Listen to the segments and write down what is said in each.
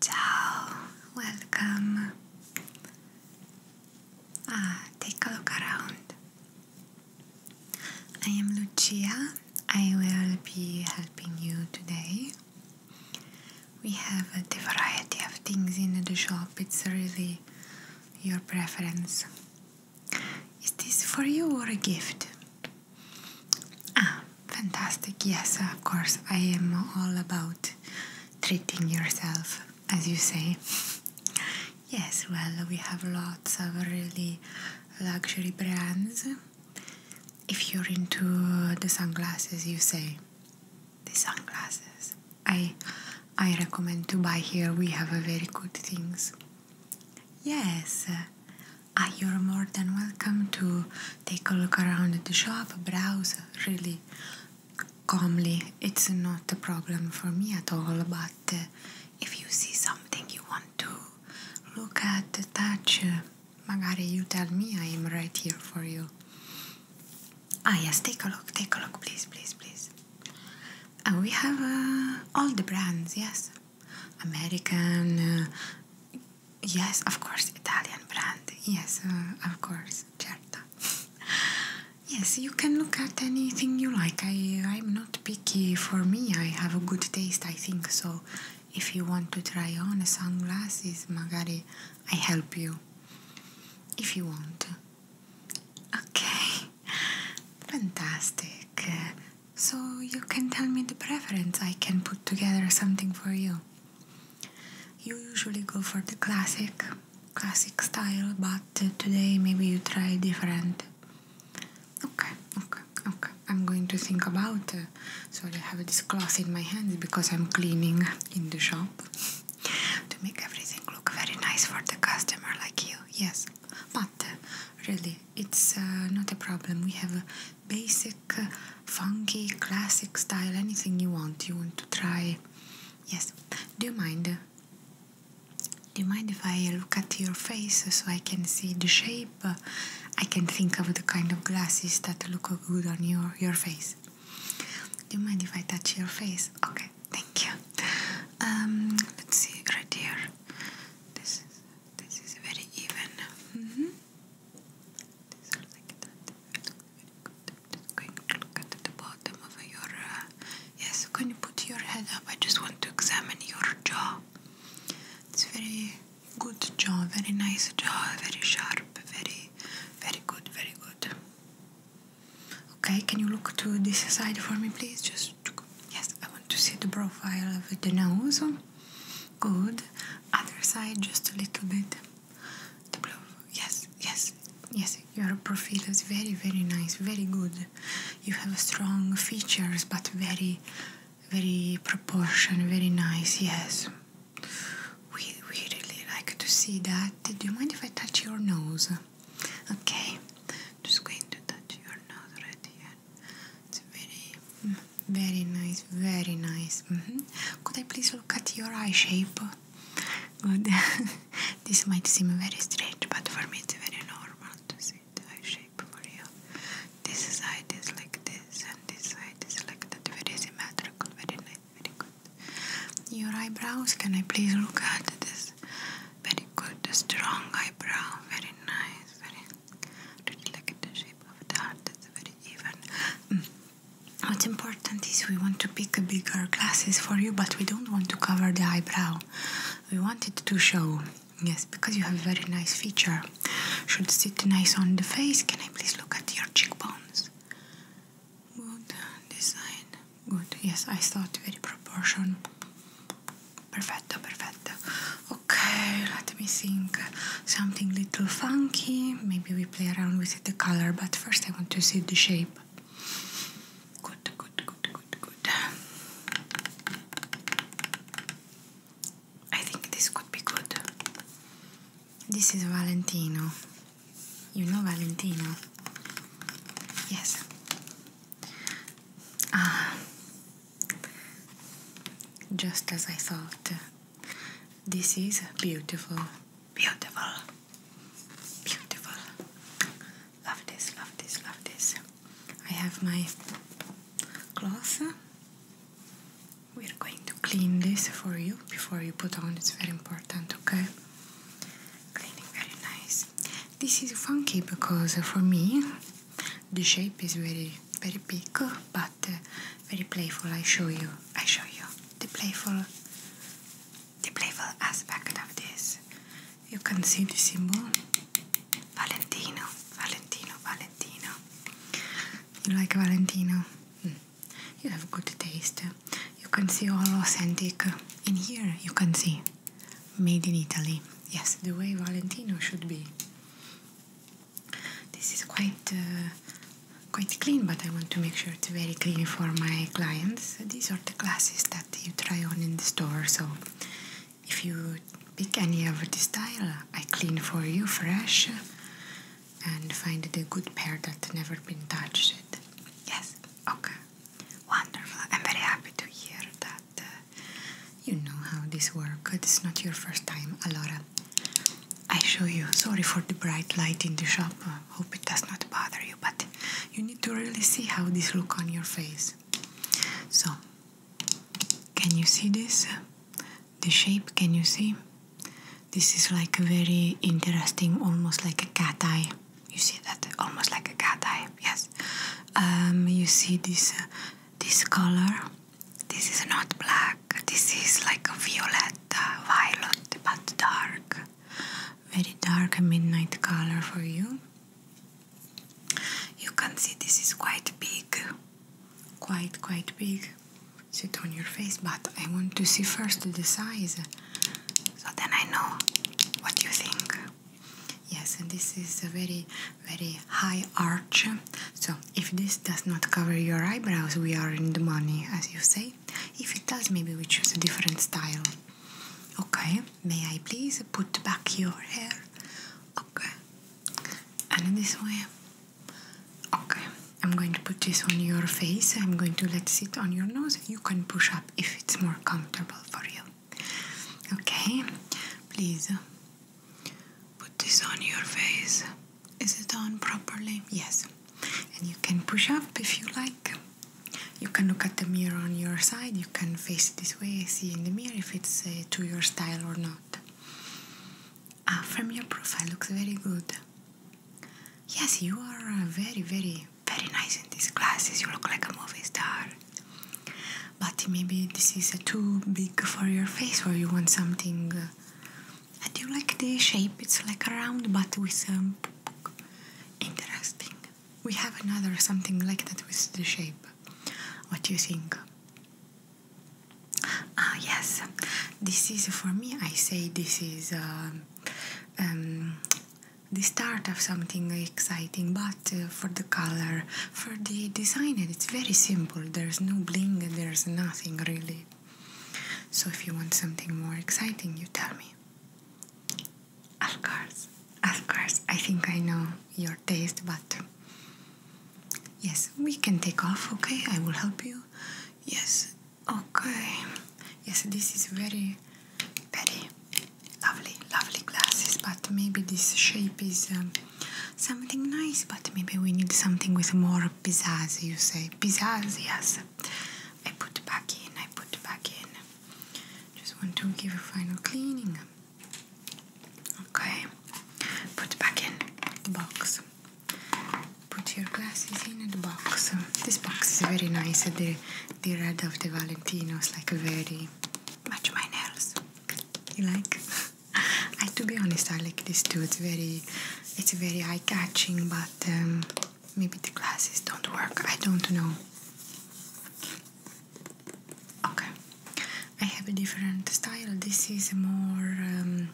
Ciao, welcome. Ah, take a look around. I am Lucia. I will be helping you today. We have the variety of things in the shop. It's really your preference. Is this for you or a gift? Ah, fantastic. Yes, of course. I am all about treating yourself, as you say. Yes, well, we have lots of really luxury brands. If you're into the sunglasses, you say the sunglasses. I I recommend to buy here. We have very good things. Yes. Uh, you're more than welcome to take a look around the shop, browse really calmly. It's not a problem for me at all, but uh, if you see something you want to look at, touch, uh, magari you tell me, I am right here for you. Ah yes, take a look, take a look, please, please, please. Uh, we have uh, all the brands, yes. American, Yes, of course, Italian brand. Yes, uh, of course, certo. yes, you can look at anything you like. I, I'm not picky. For me, I have a good taste, I think. So, if you want to try on sunglasses, magari I help you. If you want. Okay, fantastic. So, you can tell me the preference, I can put together something for you. You usually go for the classic classic style, but today maybe you try different. Okay, okay, okay. I'm going to think about. Uh, sorry, I have this cloth in my hands because I'm cleaning in the shop to make everything look very nice for the customer like you. Yes, but uh, really, it's uh, not a problem. We have uh, basic, uh, funky, classic style, anything you want, you want to try. Yes, do you mind? Do you mind if I look at your face so I can see the shape? I can think of the kind of glasses that look good on your, your face. Do you mind if I touch your face? Okay, thank you. Um, let's see, right here. This this is very even. Mm -hmm. Just like that. Just going to look at the bottom of your. yes, can you put your head up? I just want to examine your jaw. It's very good jaw, very nice jaw, very sharp, very, very good, very good. Okay, can you look to this side for me, please? Just yes, I want to see the profile of the nose. Good. Other side, just a little bit. Yes, yes, yes. Your profile is very, very nice. Very good. You have strong features, but very, very proportion. Very nice. Yes. We we really like to see that. Do you mind if I touch your nose? Okay. Just going to touch your nose right here. It's very. Very nice, very nice. Mm-hmm. Could I please look at your eye shape? Good. this might seem very strange, but for me it's very normal to see the eye shape for you. This side is like this, and this side is like that. Very symmetrical, very nice, very good. Your eyebrows, can I please look at this? Very good, strong eyebrow, very nice, very look at the shape of the heart, very even. Mm. What's important is we want to pick a bigger glasses for you, but we don't want to cover the eyebrow. We want it to show, yes, because you have a very nice feature. Should sit nice on the face. Can I please look at your cheekbones? Good design. Good. Yes, I thought very proportion. Perfetto, perfetto. Okay, let me think. Something little funky. Maybe we play around with the color, but first I want to see the shape. Good, good, good, good, good. I think this could be good. This is Valentino. You know Valentino? Yes. Ah. Just as I thought. This is beautiful, beautiful, beautiful. Love this, love this, love this. I have my cloth. We're going to clean this for you before you put on. It's very important, okay? Cleaning very nice. This is funky because for me the shape is very, very big, but but uh, very playful. I show you. I show you the playful, the playful aspect of this. You can see the symbol, Valentino, Valentino, Valentino. You like Valentino? Hmm. You have good taste. You can see all authentic. In here, you can see made in Italy. Yes, the way Valentino should be. This is quite uh, quite clean, but I want to make sure it's very clean for my clients. These are the glasses that you try on in the store, so if you pick any of this style, I clean for you fresh and find a good pair that never been touched. Yes, okay, wonderful. I'm very happy to hear that uh, you know how this works. It's not your first time, Alora. I show you. Sorry for the bright light in the shop. Uh, hope it does not bother you, but you need to really see how this look on your face. So, can you see this? The shape, can you see? This is like a very interesting, almost like a cat eye. You see that? Almost like a cat eye. Yes. Um, you see this uh, this color this is not black, this is like a violet, uh, violet, but dark. Very dark midnight color for you. You can see this is quite big, quite, quite big. Sit on your face, but I want to see first the size so then I know what you think. Yes, and this is a very, very high arch, so if this does not cover your eyebrows, we are in the money, as you say. If it does, maybe we choose a different style. Okay, may I please put back your hair? Okay, and this way. Okay, I'm going to put this on your face. I'm going to let it sit on your nose. You can push up if it's more comfortable for you. Okay, please Put this on your face. Is it on properly? Yes. And you can push up if you like. You can look at the mirror on your side. You can face this way, see in the mirror if it's uh, to your style or not. Ah, from your profile looks very good. Yes, you are uh, very, very, very nice in these glasses. You look like a movie star. But maybe this is uh, too big for your face, or you want something I do like the shape, it's like a round but with um, interesting. We have another something like that with the shape. What do you think? Ah, yes, this is for me. I say this is um, um, the start of something exciting, but uh, for the color, for the design, it's very simple. There's no bling, there's nothing really. So if you want something more exciting, you tell me. Of course, of course, I think I know your taste, but yes, we can take off, okay? I will help you. Yes, okay. Yes, this is very, very lovely, lovely glasses, but maybe this shape is um, something nice, but maybe we need something with more pizzazz, you say. Pizzazz, yes. I put back in, I put back in. Just want to give a final cleaning. Okay, put back in the box. Put your glasses in the box. This box is very nice. The, the red of the Valentinos, like very much my nails. You like? I to be honest, I like this too. It's very, it's very eye-catching, but um, maybe the glasses don't work. I don't know. Okay, I have a different style. This is a more. Um,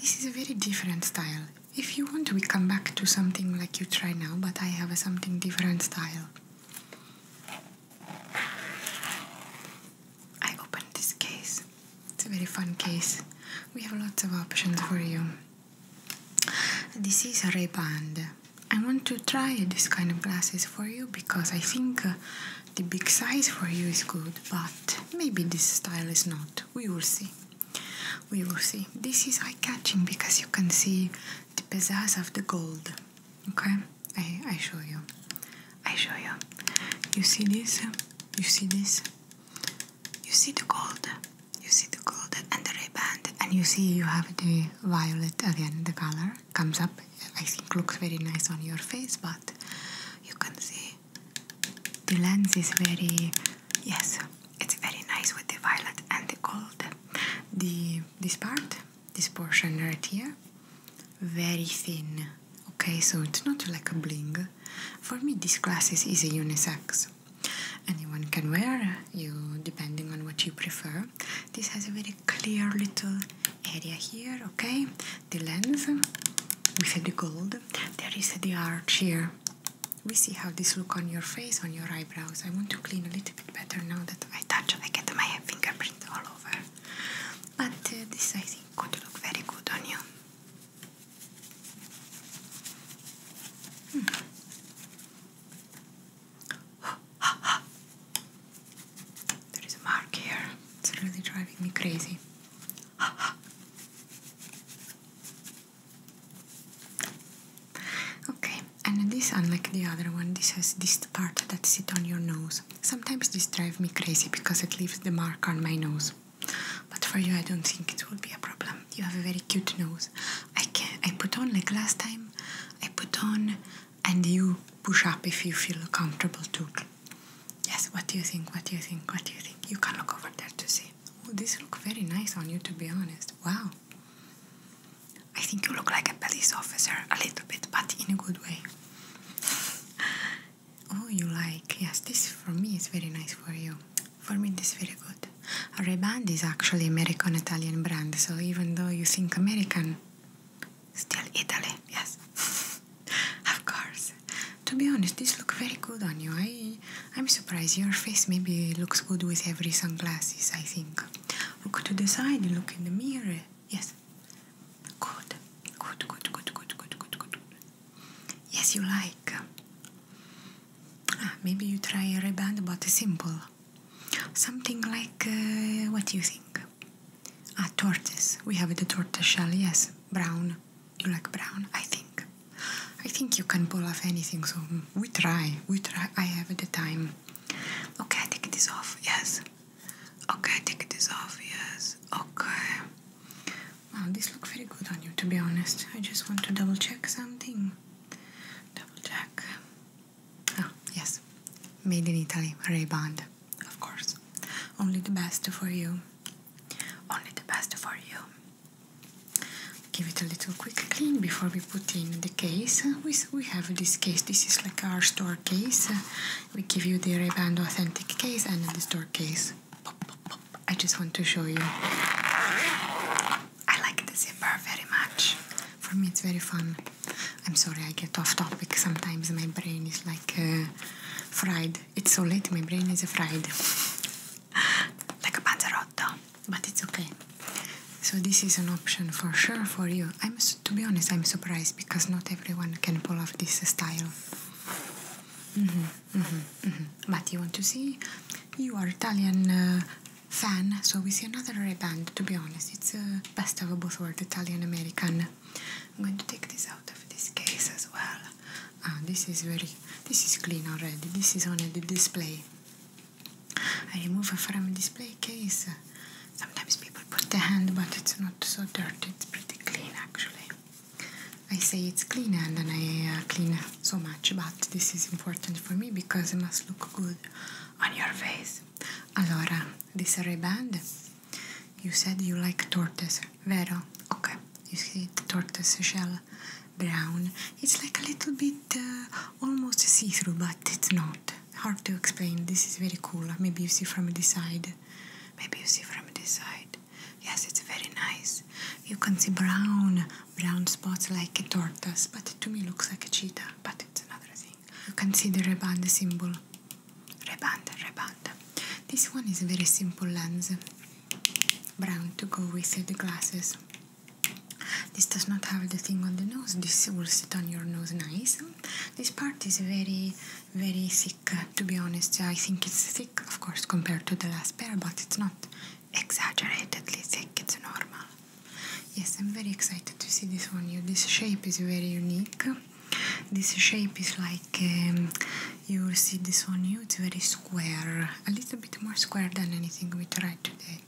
this is a very different style. If you want, we come back to something like you try now, but I have a something different style. I open this case. It's a very fun case. We have lots of options for you. This is a Ray-Ban. I want to try this kind of glasses for you because I think uh, the big size for you is good, but maybe this style is not. We will see. We will see. This is eye-catching because you can see the pizzazz of the gold. Okay, I I show you. I show you. You see this? You see this? you see the gold, you see the gold and the ray-band and you see you have the violet again, the color comes up, I think looks very nice on your face, but you can see the lens is very, yes, it's very nice with the violet and the gold. The, this part, this portion right here, very thin okay so it's not like a bling for me these glasses is a unisex anyone can wear you depending on what you prefer this has a very clear little area here okay the lens with the gold there is the arch here we see how this look on your face on your eyebrows i want to clean a little bit better now that i touch i get my fingerprint all over but uh, this is going to look very good on you there is a mark here. It's really driving me crazy. okay, and this, unlike the other one, this has this part that sits on your nose. Sometimes this drives me crazy because it leaves the mark on my nose. But for you, I don't think it will be a problem. You have a very cute nose. I can I put on like last time. I put on, and you push up if you feel comfortable too. Yes. What do you think? What do you think? What do you think? You can look over there to see. Oh, this look very nice on you. To be honest, wow. I think you look like a police officer a little bit, but in a good way. Oh, you like? Yes, this for me is very nice for you. For me, this is very good. Ray-Ban is actually American-Italian brand, so even though you think American, still Italy, yes. of course. To be honest, this look very good on you. I, I'm surprised. Your face maybe looks good with every sunglasses, I think. Look to the side, look in the mirror. Yes. Good. Good, good, good, good, good, good, good. Yes, you like. Ah, maybe you try a ribbon, but simple. Something like uh, what do you think? A ah, tortoise. We have the tortoise shell. Yes, brown. You like brown, I think. I think you can pull off anything. So we try. We try. I have the time. Okay, I take this off. Yes. Okay, take this off. Yes. Okay. Wow, this looks very good on you, to be honest. I just want to double check something. Double check. Oh, yes. Made in Italy, Ray Of course. Only the best for you. Only the best for you. Give it a little quick clean before we put in the case. We, we have this case. This is like our store case. We give you the Ray authentic case and the store case. I just want to show you. I like the zipper very much. For me, it's very fun. I'm sorry, I get off topic sometimes. My brain is like uh, fried. It's so late, my brain is fried. like a panzerotto. But it's okay. So, this is an option for sure for you. I'm, to be honest, I'm surprised because not everyone can pull off this style. Mm -hmm. Mm -hmm, mm -hmm. But you want to see? You are Italian uh, fan, so we see another Band. To be honest, it's uh, best of both world: Italian American. I'm going to take this out of this case as well. Ah, this is very. This is clean already. This is only the display. I remove from display case. Sometimes people put the hand, but it's not so dirty. It's pretty clean actually. I say it's cleaner, and then I uh, clean so much, but this is important for me because it must look good on your face. Allora, this a riband? you said you like tortoise, vero? Okay, you see the tortoise shell brown. It's like a little bit uh, almost see-through, but it's not. Hard to explain, this is very cool. Maybe you see from this side Maybe you see from this side. Yes, it's very nice. You can see brown, brown spots like a tortoise, but to me looks like a cheetah, but it's another thing. You can see the reband symbol. Reband, reband. This one is a very simple lens. Brown to go with the glasses. This does not have the thing on the nose. This will sit on your nose nice. This part is very very thick uh, to be honest I think it's thick of course compared to the last pair but it's not exaggeratedly thick it's normal yes I'm very excited to see this one you this shape is very unique this shape is like um, you will see this one new it's very square a little bit more square than anything we tried today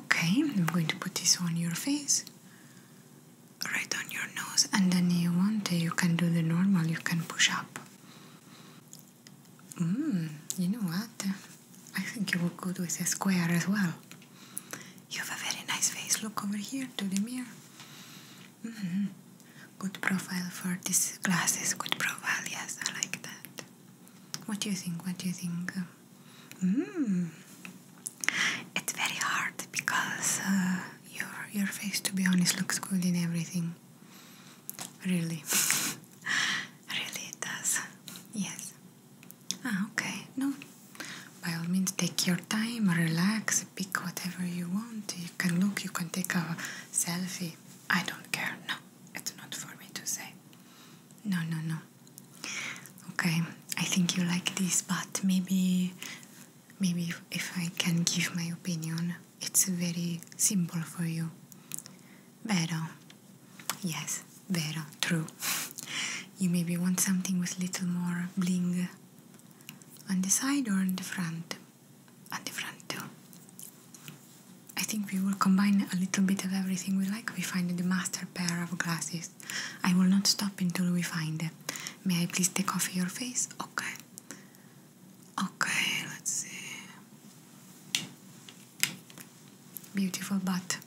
okay I'm going to put this on your face right on your nose and then you want you can do the normal you can push up Mm, you know what? I think you look good with a square as well. You have a very nice face. Look over here to the mirror. -hmm. Good profile for these glasses. Good profile, yes, I like that. What do you think? What do you think? Mm. It's very hard because uh, your your face to be honest looks good in everything. Really. really it does. Yes. Ah, okay. No. By all means take your time, relax, pick whatever you want. You can look, you can take a selfie. I don't care. No. It's not for me to say. No, no, no. Okay. I think you like this, but maybe maybe if, I can give my opinion, it's very simple for you. Vera, Yes, Vera, true. You maybe want something with little more bling on the side or on the front? On the front too. I think we will combine a little bit of everything we like. We find the master pair of glasses. I will not stop until we find it. May I please take off your face? Okay. Okay, let's see. Beautiful, but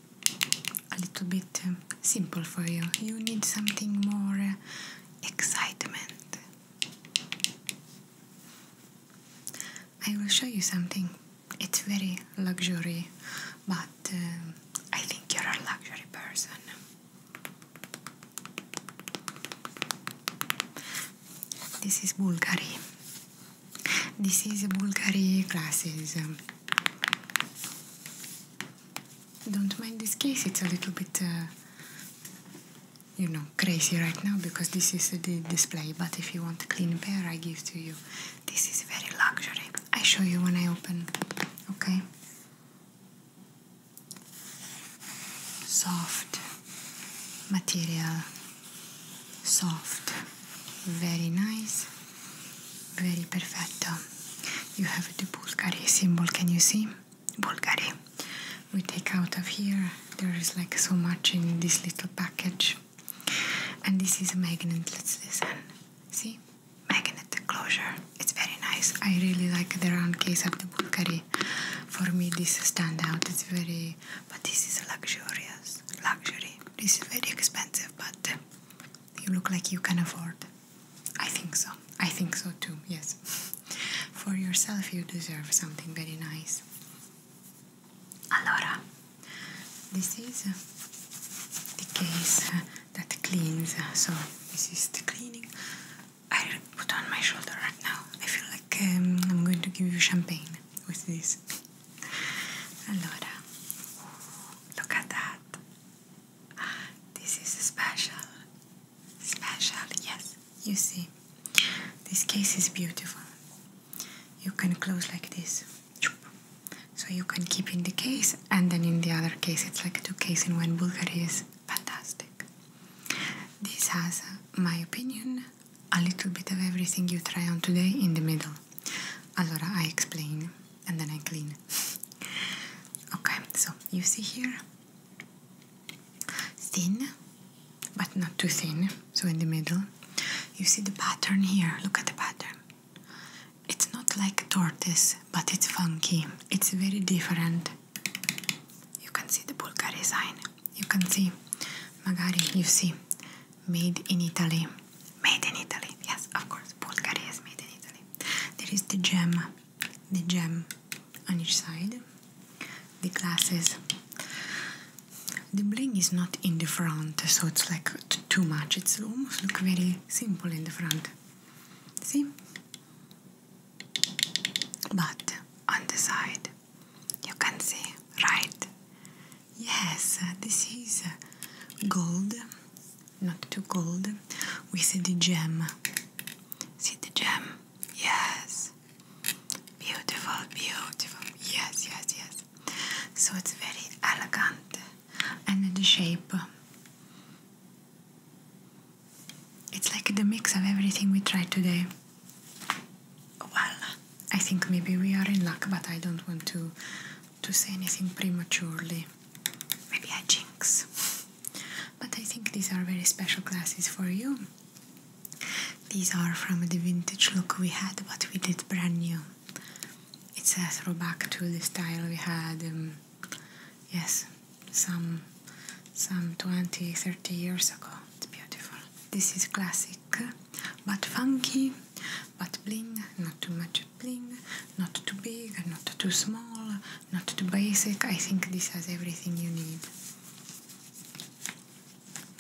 a little bit um, simple for you. You need something more uh, excitement. I will show you something. It's very luxury, but um, I think you're a luxury person. This is Bulgari. This is Bulgari glasses. Don't mind this case, it's a little bit, uh, you know, crazy right now because this is the display. But if you want a clean pair, I give to you. This is very luxury. I show you when I open, okay? soft material soft very nice very perfect. you have the Bulgari symbol can you see Bulgari we take out of here there is like so much in this little package and this is a magnet let's listen see magnet closure it's very nice I really like the round case of the Bulgari for me this stand out it's very but this is luxurious luxury this is very expensive but you look like you can afford i think so i think so too yes for yourself you deserve something very nice allora this is the case that cleans so this is the cleaning I put on my shoulder right now. I feel like um, I'm going to give you champagne with this. allora, look at that. This is special. Special, yes. You see, this case is beautiful. You can close like this. So you can keep in the case and then in the other case. It's like two cases in one Bulgari is fantastic. This has, uh, my opinion, a little bit of everything you try on today in the middle. Allora, I explain and then I clean. okay, so you see here thin, but not too thin, so in the middle. You see the pattern here, look at the pattern. It's not like tortoise, but it's funky. It's very different you can see the Bulgari sign. You can see Magari. You see made in Italy. Made in Italy. Yes, of course. Bulgari is made in Italy. There is the gem. The gem on each side. The glasses. The bling is not in the front, so it's like too much. It's almost look very simple in the front. See? But on the side, you can see, right? Yes, this is gold, not too gold. We see the gem. See the gem? Yes. Beautiful, beautiful. Yes, yes, yes. So it's very elegant and the shape it's like the mix of everything we tried today. Well, I think maybe we are in luck, but I don't want to to say anything prematurely. Maybe I jinx. But I think these are very special classes for you. These are from the vintage look we had, but we did brand new. It says a back to the style we had. Um, yes, some some 20 30 years ago it's beautiful this is classic but funky but bling not too much bling not too big not too small not too basic i think this has everything you need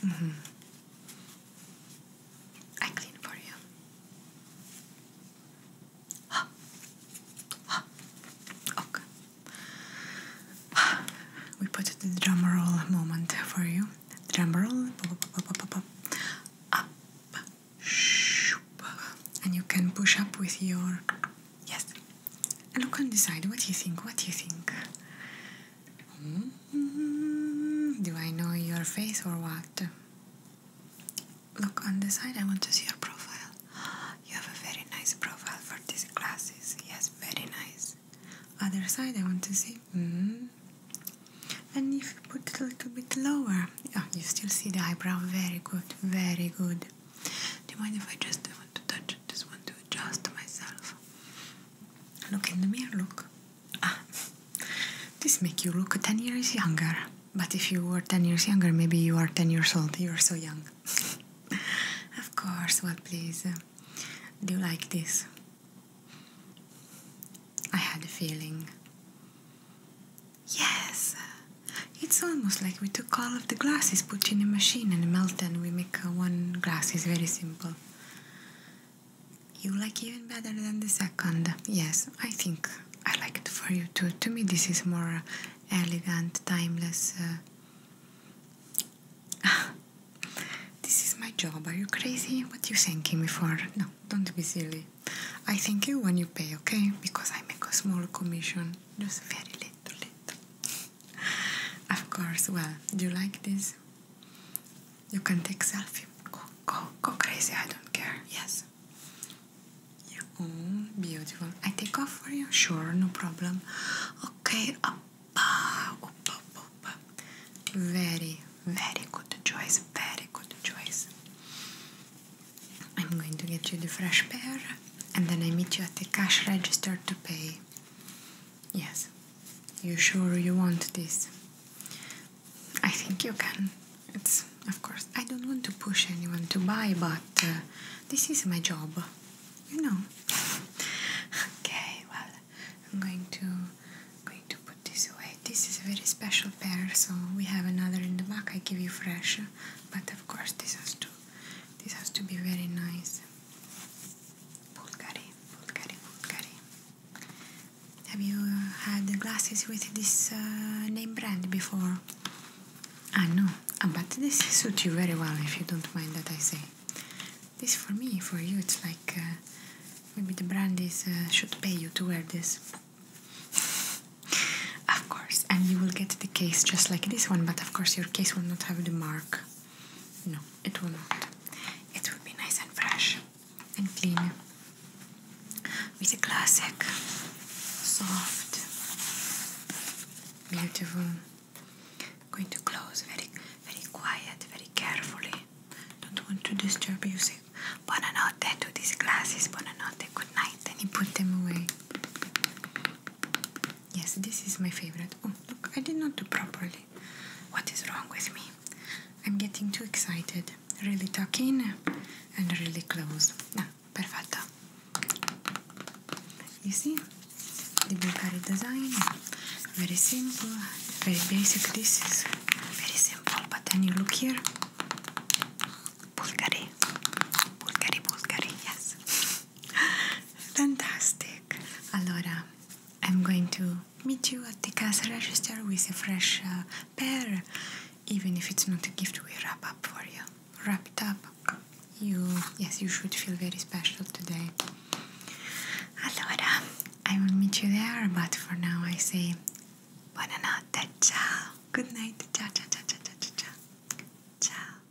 mm -hmm. i clean for you okay we put the drum roll moment for you. Drum roll, and you can push up with your yes. And look the side. what do you think. What do you think? Mm-hmm. Do I know your face or what? Look on the side. I want to see your profile. You have a very nice profile for these classes. Yes, very nice. Other side, I want to see. Mm. And if you put it a little bit lower, yeah, oh, you still see the eyebrow. Very good, very good. Do you mind if I just want to touch? Just want to adjust myself. Look in the mirror. Look. Ah, this make you look ten years younger. But if you were ten years younger, maybe you are ten years old. You're so young. of course, what please. Uh, do you like this? I had a feeling. Yes! It's almost like we took all of the glasses, put in a machine and melt them. we make uh, one glass. It's very simple. You like even better than the second. Yes, I think I like it for you too. To me this is more uh, elegant, timeless, this is my job. Are you crazy? What you thanking me for? No, don't be silly. I thank you when you pay, okay? Because I make a small commission, just very little, little. of course. Well, do you like this? You can take selfie. Go, go, go crazy. I don't care. Yes. You Oh, beautiful. I take off for you? Sure, no problem. Okay, up, up, up, Very, very good choice. Very good choice. I'm going to get you the fresh pair and then I meet you at the cash register to pay. Yes, you sure you want this? I think you can. It's, of course, I don't want to push anyone to buy, but uh, this is my job you know. okay, well, I'm going to going to put this away. This is a very special pair, so we have another in the back. I give you fresh, but of course this has to this has to be very nice. Bulgari, Bulgari, Bulgari. Have you uh, had glasses with this uh, name brand before? I know, uh, but this suits you very well if you don't mind that I say. This for me, for you, it's like uh, maybe the brand uh, should pay you to wear this. of course, and you will get the case just like this one, but of course, your case will not have the mark. No, it will not. It will be nice and fresh and clean with a classic, soft, beautiful. I'm going to close very, very quiet, very carefully. Don't want to disturb you. Say buonanotte to these glasses, buonanotte, good night, and he put them away. Yes, this is my favorite. Oh, look, I did not do properly. What is wrong with me? I'm getting too excited. Really talking, and really close. Now, perfetto you see the bakery design very simple very basic this is very simple but then you look here Bulgari Bulgari Bulgari yes fantastic allora I'm going to meet you at the cash register with a fresh uh, pair even if it's not a gift we wrap up for you wrapped up, you yes, you should feel very special today. Allora, I will meet you there, but for now I say buonanotte, ciao, good night, ciao, ciao, ciao, ciao, ciao, ciao, ciao.